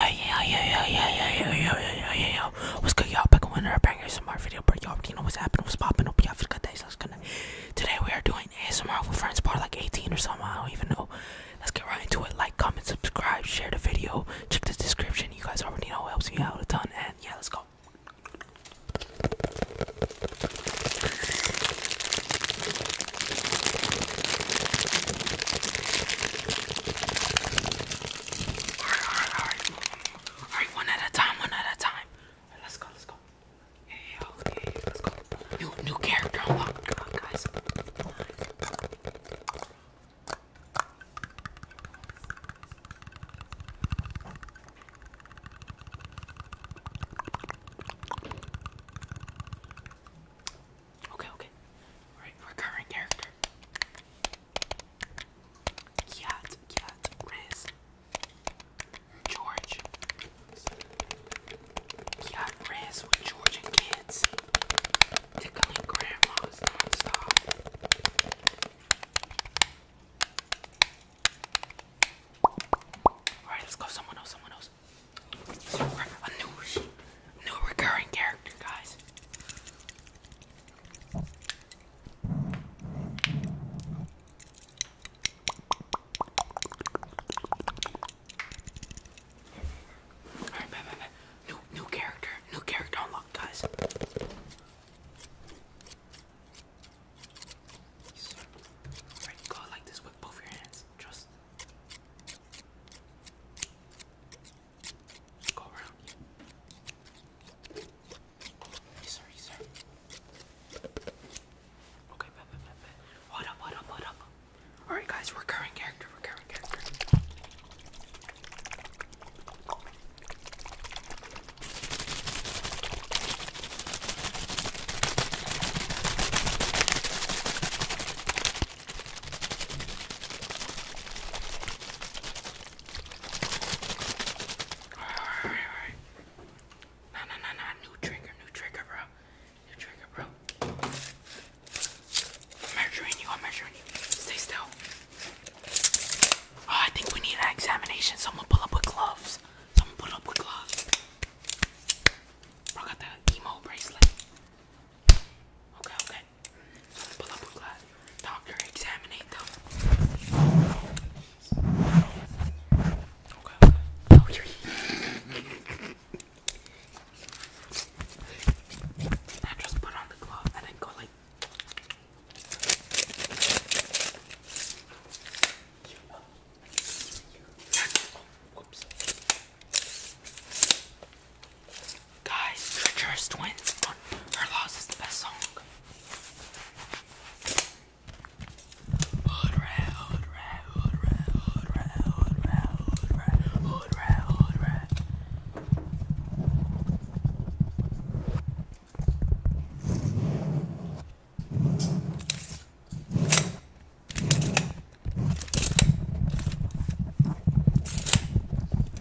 Hey yo yo yo yo yo yo yo yo yo What's good y'all back another banger ASMR video but y'all already know what's happening what's popping hope y'all have a good so let's going Today we are doing ASMR with friends part like 18 or something I don't even know Let's get right into it like comment subscribe share the video check the description you guys already know it helps me out a ton and yeah let's go Alright, alright, alright. Alright, one at a time, one at a time. Right, let's go, let's go. Yeah, yeah, okay, yeah, let's go. New, new character unlocked, Come on, guys. Okay, okay. Right, recurring character. Cat, cat, Riz. George. Cat, Riz with George kids. Tickling grandmas stop Alright, let's go. Someone else, someone else. A New recurring character, guys. Alright, New, new character, new character unlocked, guys. Yes. Right, go like this with both your hands. Trust. Go around you. Yes, sir, yes, sir. Okay, bet, bet, bet, What up, what up, what up? Alright, guys, recurring character, recurring character. Alright, alright, alright. No, no, no, no. New trigger, new trigger, bro. New trigger, bro. I'm measuring you, I'm measuring you. Stay still. Oh, I think we need an examination. Someone pull up with gloves. Someone pull up with gloves. Bro, got the emo bracelet. Okay, okay. Pull up a glass. Doctor, examinate them. Okay. Oh, here I just put on the glove and then go like. Whoops. Guys, Treacherous Twins Her Loss is the best song.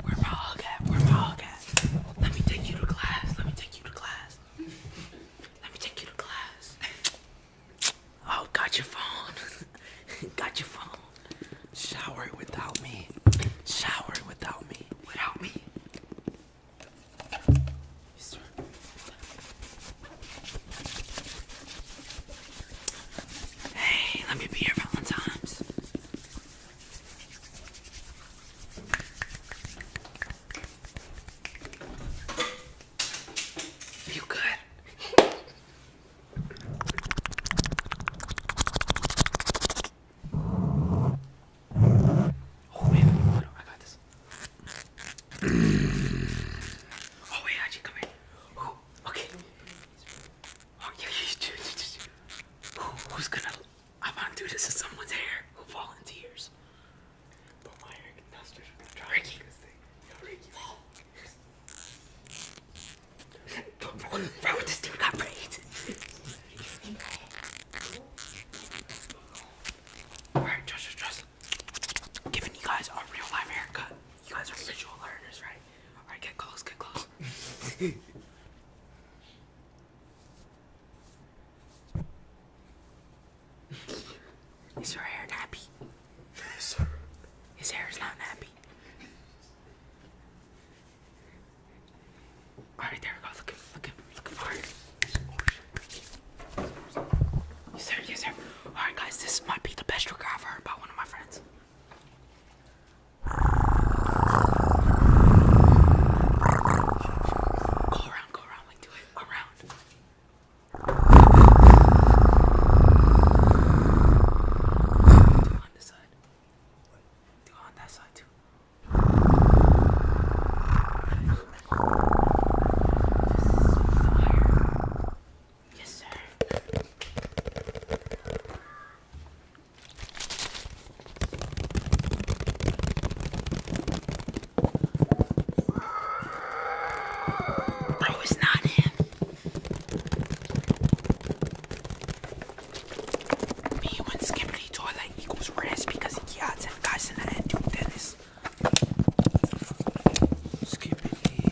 Where my hug at? Where my hug at? Let me take you to class. Let me take you to class. Let me take you to class. Oh, got your phone. got your phone. Shower without me. Shower without me. Without me. Hey, let me be your Valentine's. You good? Oh wait, I got this. oh wait, come here. okay. Oh, who's gonna? I want to do this to someone's hair. Who volunteers? But my hair conductors are going try Ricky. this thing. Yo, Ricky. Bro, bro, this dude got braids. Alright, trust, trust, trust. Giving you guys a real life haircut. You guys are visual learners, right? All right, get close, get close. Is her hair nappy? Yes, His hair is not nappy. Alright, there we go. Look, look, look for it. Yes, sir. Yes, sir. Alright, guys, this might be the best trick I've heard about one of my friends. Go around, go around, like do it around. Do it on this side. Do it on that side too. This is fire. Yes, sir. not him. Me when Skippity toilet equals rants because he yachts and guys in the head do tennis. Skippity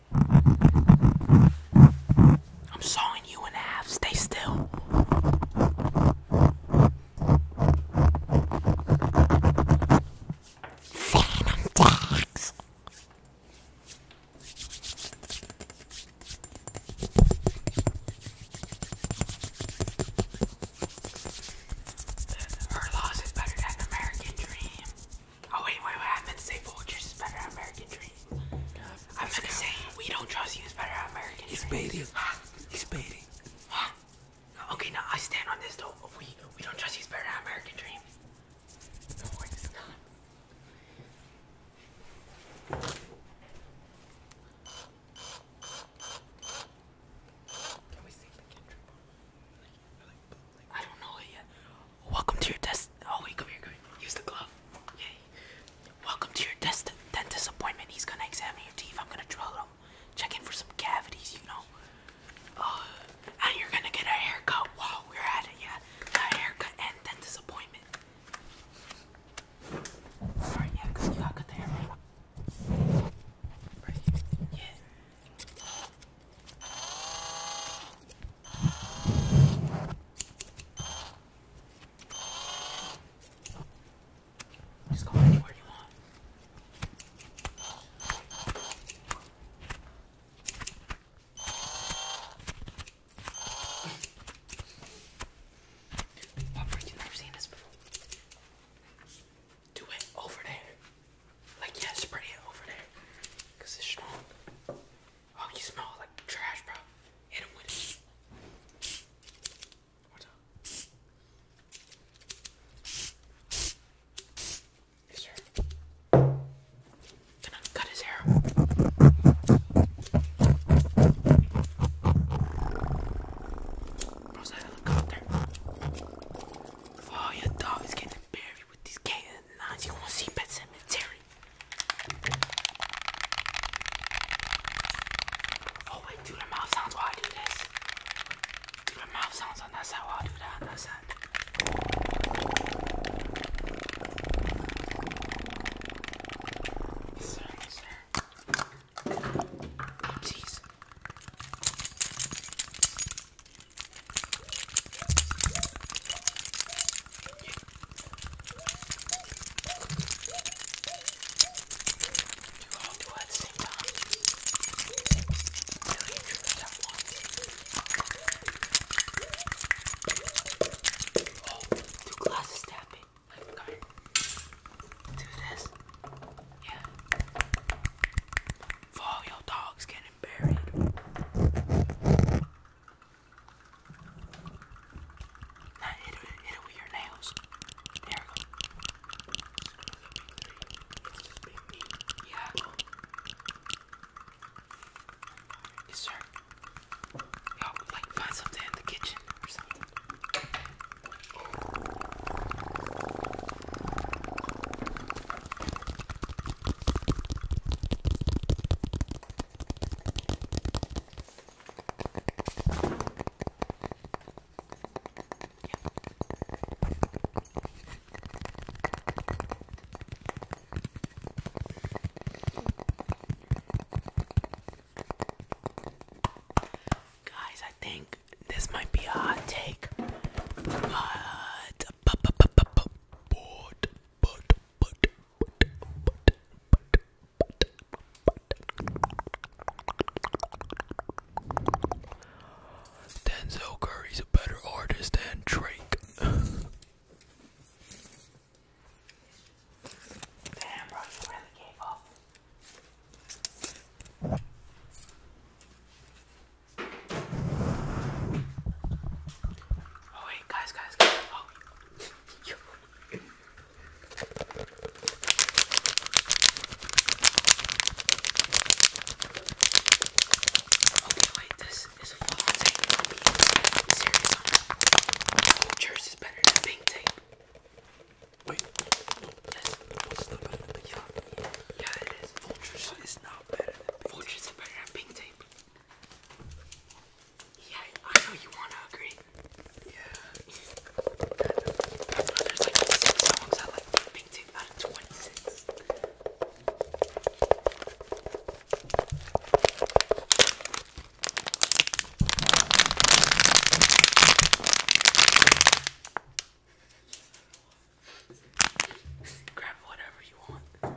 I'm sawing you in half. Stay still. Phantom tax. Her loss is better than American Dream. Oh wait, wait, wait! I meant to say Vultures is better than American Dream. I'm gonna we don't trust you is better than American. He's baiting. He's baiting. Huh? Okay, now I stand on this though. We we don't trust you is better than American Dream. Can we sing the Kendrick? I don't know it yet. Welcome to your test. Oh we come here, come here. Use the glove. Yay. Welcome to your test dentist appointment. He's gonna examine your teeth. I'm gonna drill them, check in for some cavities, you know. Uh, and you're gonna get a haircut. Wow, we're at it, yeah. A haircut and dentist appointment. Alright, yeah, cause you got cut the hair. Right. Yeah. Just go anywhere you want. Papa, you've never seen this before. Do it over there. Like, yeah, spread it over there. Because it's strong. Oh, you smell like trash, bro. Hit him with it. What's up? Yes, sir. Gonna cut his hair. Bro's that helicopter. Oh, your dog is getting buried with these canines. You wanna see Pet Cemetery? Oh wait, do the mouth sounds while I do this. Do the mouth sounds on that side while I do that on that side. Yes, sir, yes, sir. Oopsies. You do all do at the same time. Really and truly at once. Oh, two glasses tapping. I forgot. Do this. Yeah. For all your dogs getting buried. Now hit hit with your nails. There we go. Yeah. Yes, sir. you like find something in the kitchen or something. Guys, I think this might be a hot take, but but but but but but but, Denzel Curry's a better artist than Drake. Damn, bro, you really Oh wait, guys, guys, guys! Oh. Okay, wait, this is a false is better than pink tape. Wait, yes. no, it's Yeah. yeah, it is. Vultures is not better than Vultures better than pink tape. Yeah, I know you want to agree. Yeah. That's why there's like six songs I like picked it out of 26. Grab whatever you want.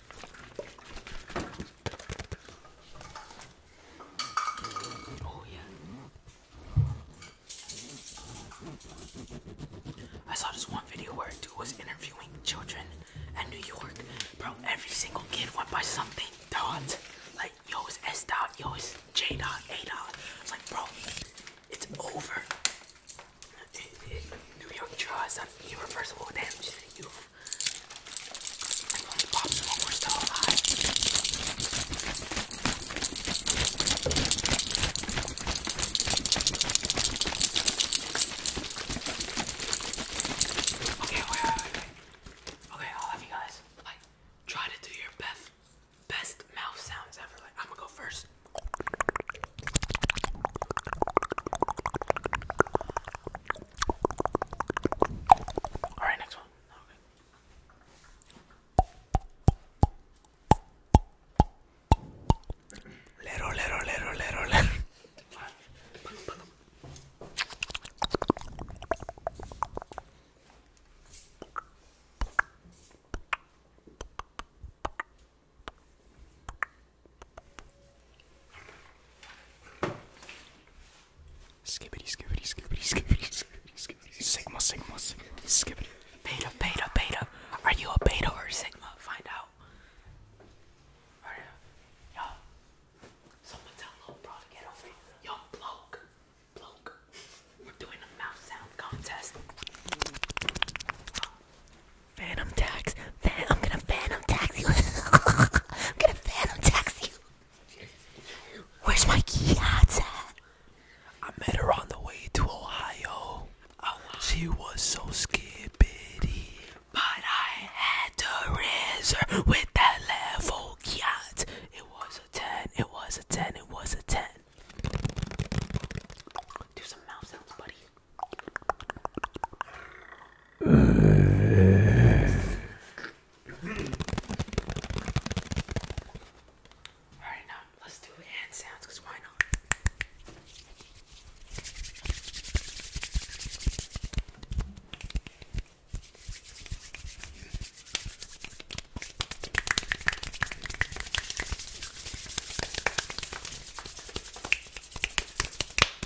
Oh, I saw this one video where a dude was interviewing children in New York. Bro, every single kid went by something dot. Like, yo, S dot, Yos J dot, A dot. It's like, bro, it's over. New York draw on irreversible damage to the youth. Okay, wait, wait, wait, wait. Okay, I'll have you guys like try to do your best best mouth sounds I'm gonna go first. All right, next one. Okay. Little, little, little, little, little. Skibbity, skibbity, skibbity, skibbity, skibbity, skibbity. Sigma, sigma, sigma, skibbity. Beta, beta, beta. Are you a beta or a sigma? Find out. Are you? Yo. Someone tell little bro to get over here. Yo, bloke. Bloke. We're doing a mouth sound contest. Phantom tax. I'm gonna phantom tax I'm gonna phantom tax Where's my Kiat's I met her on the way to Ohio. she was so skippity. But I had to raise her with that level Kiat. It was a 10, it was a 10, it was a 10. Do some mouth sounds, buddy. Alright, now let's do hand sounds because why not?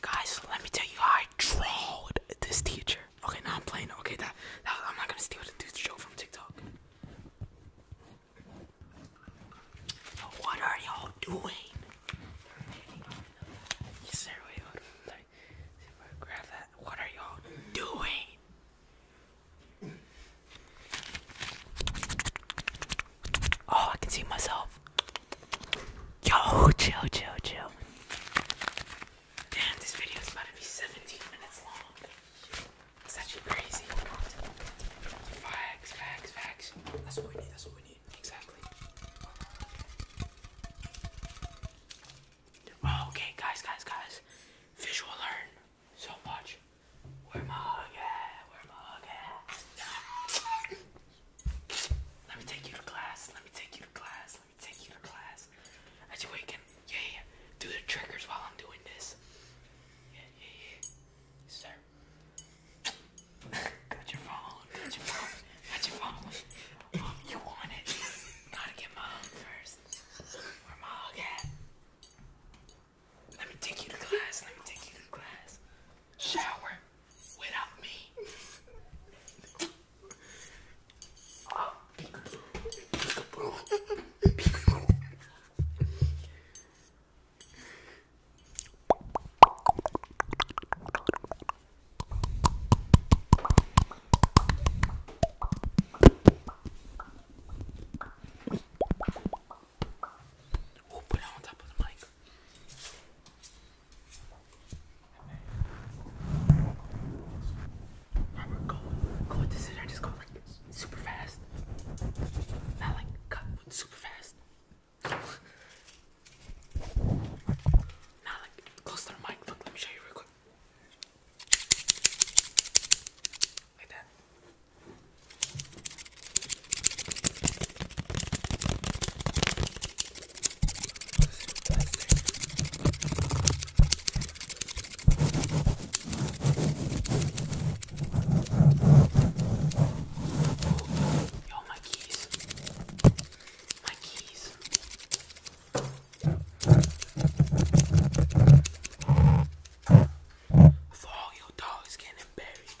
Guys, let me tell you I trolled this teacher. Okay, now I'm playing. Okay, that, I'm not gonna steal the dude's joke from TikTok. What are y'all doing? Yes, sir. grab that. What are y'all doing? Oh, I can see myself. Yo, chill, chill, chill. Damn, this video is about to be 17 minutes long. It's actually crazy. Facts, facts, facts. That's what we need, that's what we need. Exactly. Oh, okay, guys, guys, guys. Visual learn so much. Where my hug at? Where my Let me take you to class. Let me take you to class. Let me take you to class. As you wake yeah, yeah. Do the triggers while I'm doing this. Yeah, yeah, yeah. Sir. Got your phone. Got your phone. Got your phone. you want it? Gotta get my hug first. Where my hug at? Let me take you to class. Let me take you to class shower without me. oh. put it on top of the mic. Robert, go, go with this and I just go like super fast. Not like cut, but super fast. Not like close to the mic. Look, let me show you real quick. Like that. Yo, my keys. My keys. All your dog is getting buried.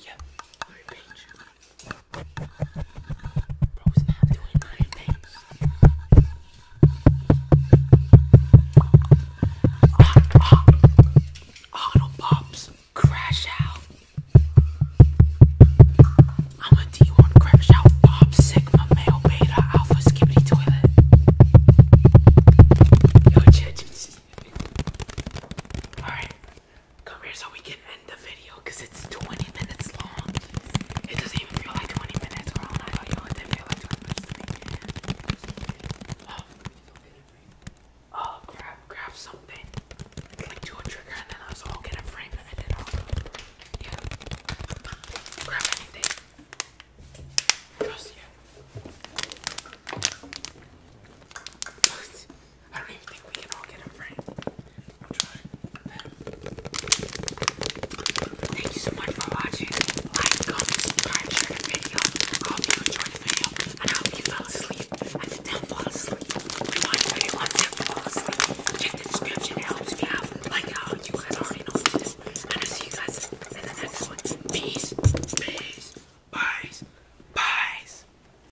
Yeah, Iron Page. Bro's not doing Iron Page. Auto ah, ah. Pops, crash out. I'm a D1 crash out, Bob Sigma, beta, alpha, skibbity toilet. Alright, Come here so we can end the video because it's 20 minutes long. It doesn't even feel like 20 minutes, oh, oh. grab, grab something. Like do a trigger and then I was all get a frame and then i Grab anything. Trust I don't even think we can all get them framed. I'm trying. Thank you so much for watching. Like, comment, subscribe, share the video. I hope you enjoyed the video, and I hope you fell asleep. I did not fall asleep. Rewind the video until you fall asleep. Check the description, it helps me out. Like how you guys already know this. And I'll see you guys in the next one. Peace, peace, peace, peace.